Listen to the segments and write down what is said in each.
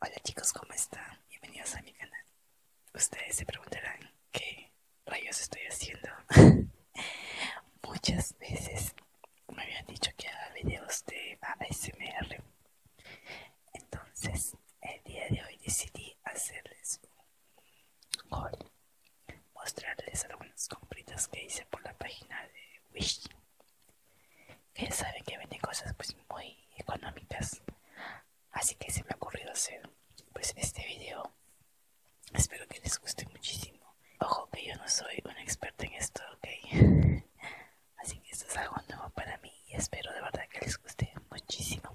Hola chicos, ¿cómo están? Bienvenidos a mi canal. Ustedes se preguntarán qué rayos estoy haciendo. Muchas veces me habían dicho que haga videos de ASMR. Entonces, el día de hoy decidí hacerles un haul. Mostrarles algunas compritas que hice por la página de Wish que sabe que vende cosas pues muy económicas así que se me ha ocurrido hacer pues este video espero que les guste muchísimo ojo que yo no soy un experto en esto ok así que esto es algo nuevo para mí y espero de verdad que les guste muchísimo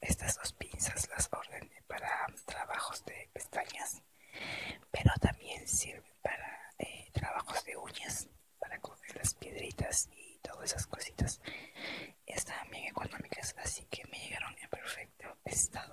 Estas dos pinzas las ordené para trabajos de pestañas pero también sirve para eh, trabajos de uñas, para coger las piedritas y todas esas cositas. Están bien económicas, así que me llegaron en perfecto estado.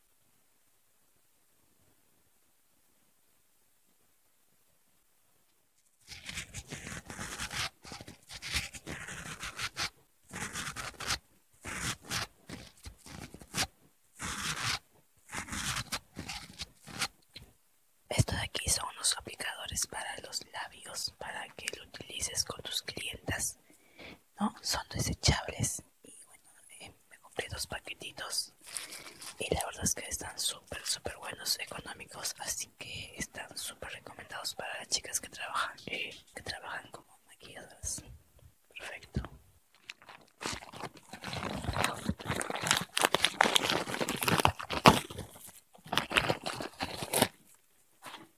Esto de aquí son unos aplicadores para los labios para que lo utilices con tus clientas. No son desechables y bueno eh, me compré dos paquetitos y la verdad es que están súper súper buenos económicos así que están súper recomendados para las chicas que trabajan eh, que trabajan como maquilladas perfecto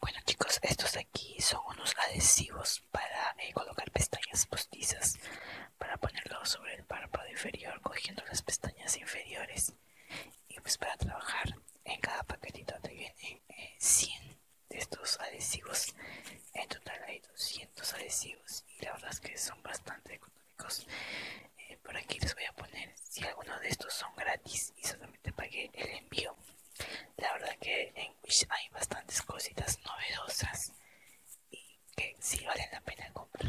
Bueno chicos, estos de aquí son unos adhesivos para eh, colocar pestañas postizas, para ponerlo sobre el párpado inferior cogiendo las pestañas inferiores. Y pues para trabajar en cada paquetito te vienen eh, 100 de estos adhesivos. En total 200 adhesivos y la verdad es que son bastante económicos eh, por aquí les voy a poner si alguno de estos son gratis y solamente pagué el envío la verdad que en Wish hay bastantes cositas novedosas y que sí valen la pena comprar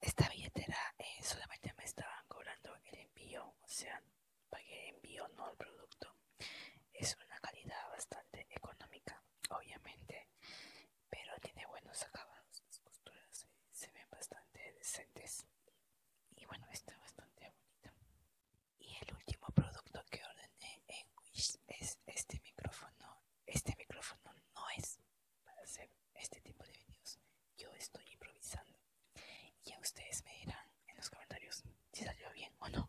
esta billetera eh, solamente me estaban cobrando el envío, o sea, pagué envío, no el producto. Es una calidad bastante económica, obviamente, pero tiene buenos acabados, las costuras se ven bastante decentes y bueno, está bastante bonita. Y el último producto que ordené en Wish es este micrófono. Este micrófono no es para hacer este tipo de vídeos Yo estoy improvisando. Y a ustedes me dirán en los comentarios si salió bien o no.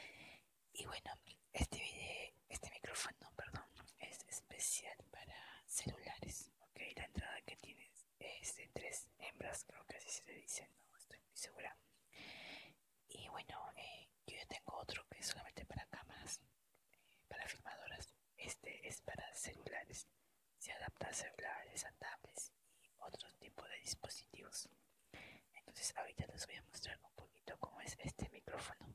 y bueno, este video, este micrófono, perdón, es especial para celulares. Ok, la entrada que tiene es de tres hembras, creo que así se le dice, no estoy muy segura. Y bueno, eh, yo tengo otro que es solamente para cámaras, eh, para filmadoras. Este es para celulares. Se adapta a celulares, a tablets y otro tipo de dispositivos. Entonces ahorita les voy a mostrar un poquito cómo es este micrófono.